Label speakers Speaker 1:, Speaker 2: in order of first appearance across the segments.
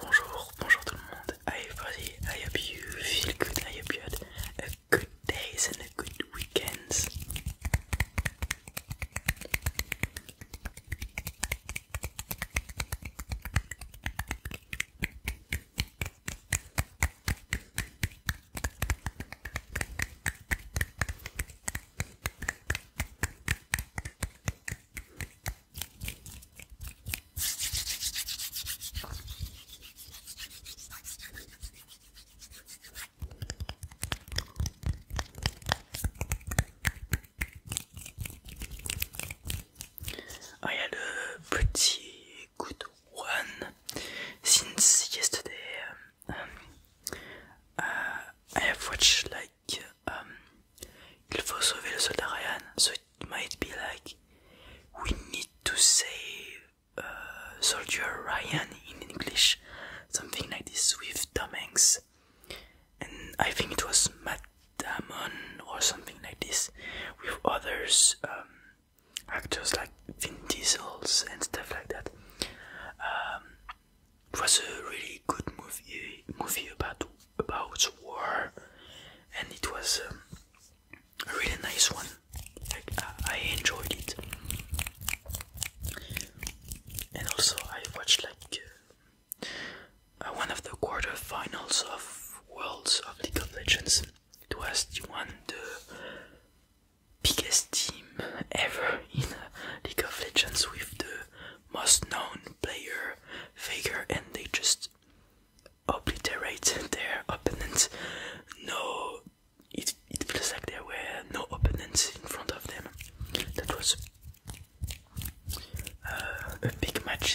Speaker 1: Bonjour, bonjour, bonjour tout le monde. I hope you feel good, I hope you had a good day and a good weekend. Ah, I had a pretty good one. Since yesterday, um, um, I have watched like like um, Il faut sauver le soldat Ryan, so it might be like We need to save uh, soldier Ryan in English, something like this with Tom Hanks. And I think it was Matt Damon or something like this with others um, actors like Vin Diesels and stuff like that. Um, it was a really good movie movie about about war, and it was um, a really nice one. Like I, enjoyed it, and also I watched like uh, one of the quarterfinals of Worlds of League of Legends. It was the one the biggest team ever in uh, League of Legends with the most known player figure and they just obliterate their opponents. No it it feels like there were no opponents in front of them. That was uh, a big match.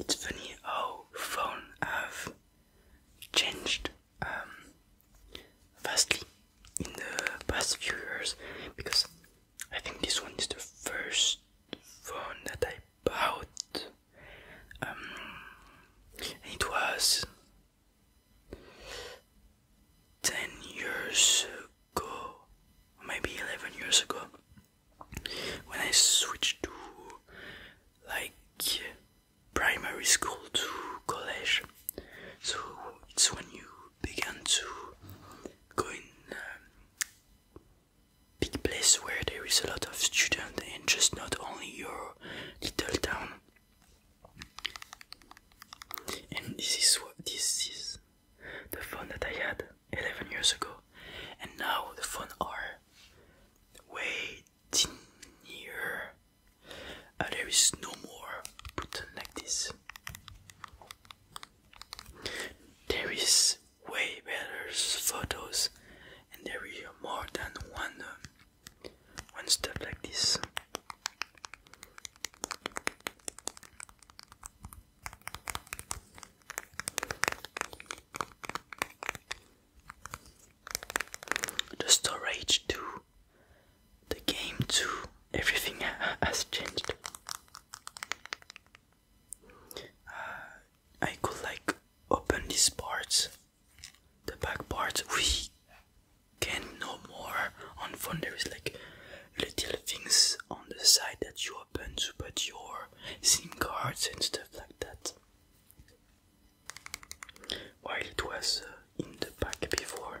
Speaker 1: It's funny how oh, phone have changed um, vastly in the past few years because I think this one is the first phone that I bought. Um, it was 10 years ago, maybe 11 years ago, when I switched to like primary school to college. So it's when you began to go in um, big place where there is a lot of students and just not only your little town. And this is what this is the phone that I had 11 years ago, and now the phone are way tinier there is no more button like this. There is way better photos, and there is more than one one step like this. The storage too the game too. Everything has changed. Uh, I could like open these parts, the back part. We can no more on phone. There is like little things on the side that you open to put your SIM cards and stuff like that while it was uh, in the pack before.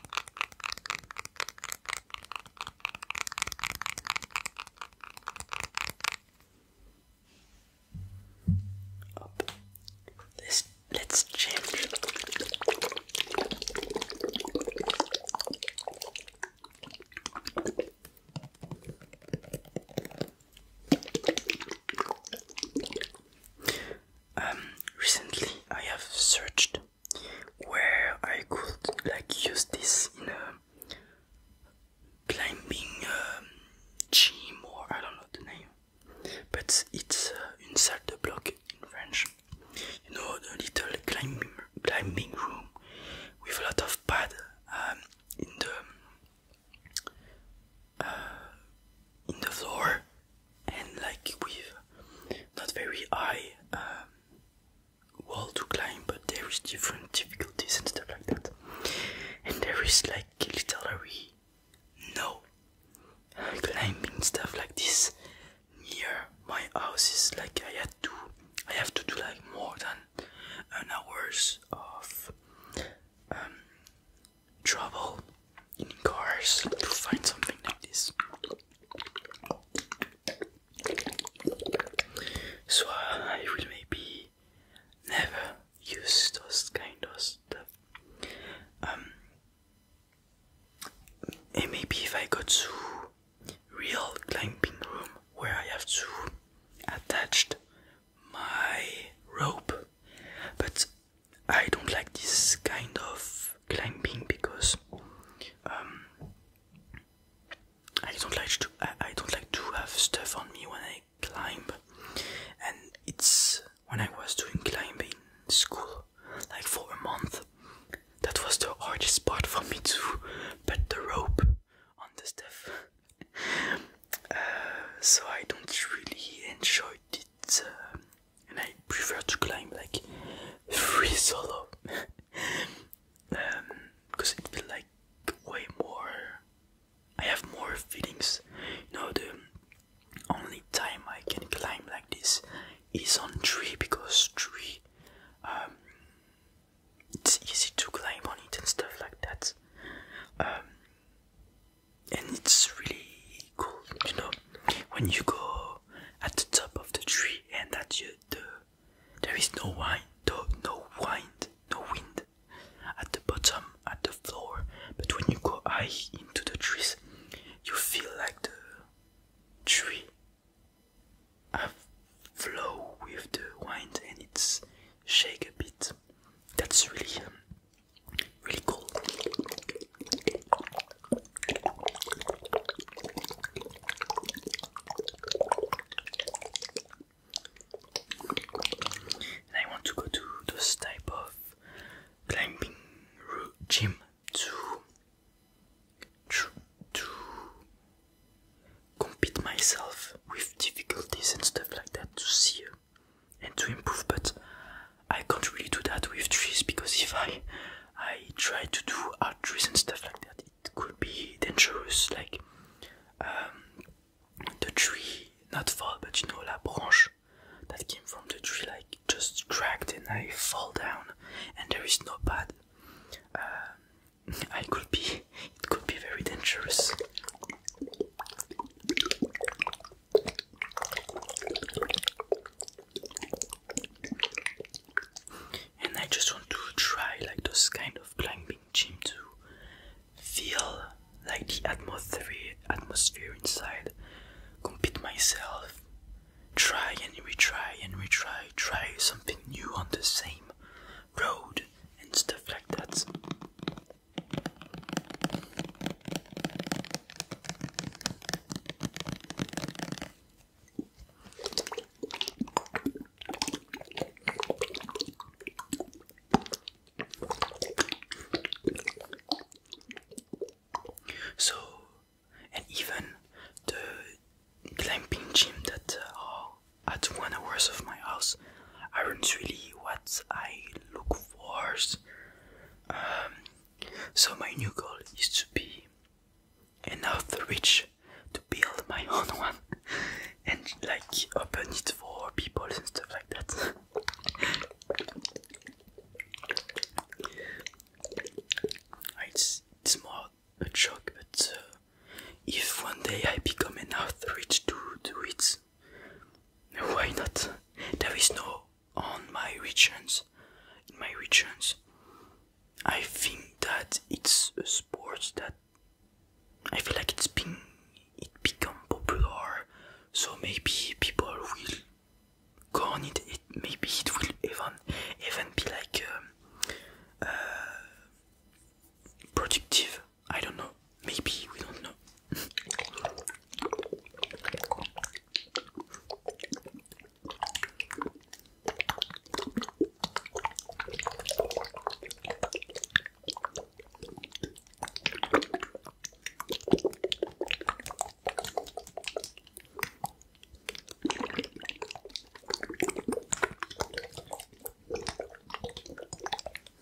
Speaker 1: Up. Let's let's change. Um, recently I have searched where I could like use this in a climbing um, gym or I don't know the name, but it's uh, une salle de bloc in French. You know the little climbing climbing room with a lot of pad um, in the in the floor and like with not very high um, wall to climb but there is different difficulties and stuff like that and there is like literally no climbing stuff like this near my house is like I had to I have to do like more than an hours of um, trouble in cars to find something like this. So uh, I will maybe never use those kind of stuff. Um, and maybe if I go to real climbing room where I have to attached my rope, but I don't like this kind of climbing because um, I don't like to I, don't like to have stuff on me when I climb, and it's when I was doing climbing school, like for a month. That was the hardest part for me to put the rope on the stuff. Uh, so I don't really enjoy it. Uh, and I prefer to climb like free solo because um, it feels like way more. I have more feelings. You know, the only time I can climb like this is on tree because tree, um, it's easy to climb on it and stuff like that. Um, and it's really cool, you know, when you go at the top of the tree and that the there is no wind, no, no wind, no wind at the bottom, at the floor, but when you go high into the trees, you feel like the tree have flow with the wind and it's shake a bit. That's really um, Really cool. I want to go to those type of climbing gym to to, compete myself with difficulties and stuff like that to see and to improve but I can't really do that with trees because if I I try to do art trees and stuff like that it could be dangerous like um, the tree not fall but you know la branche that came from the tree like just cracked and I fall down and there is no pad uh, I could be it could be very dangerous and I just want to try like those kind of climbing gym to feel like the atmosphere atmosphere inside. Compete myself. Try and retry and retry. Try something new on the same road and stuff like that. So, and even the climbing gym that uh, are at one hours of my house aren't really what I look Wars. Um, so my new goal is to be enough rich to build my own one and like open it for people and stuff like that. it's, it's more a joke, but uh, if one day I become enough rich to do it, why not? There is no on my regions. In my regions, I think that it's a sport that I feel like it's been it become popular. So maybe people will go on it. it maybe it will even even be like um, uh, productive I don't know. Maybe we don't know.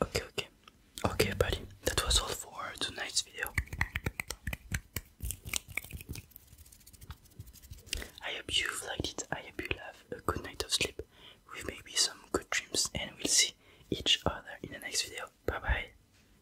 Speaker 1: Okay, okay. Okay, buddy. That was all for tonight's video. I hope you liked it. I hope you have a good night of sleep with maybe some good dreams, and we'll see each other in the next video. Bye bye.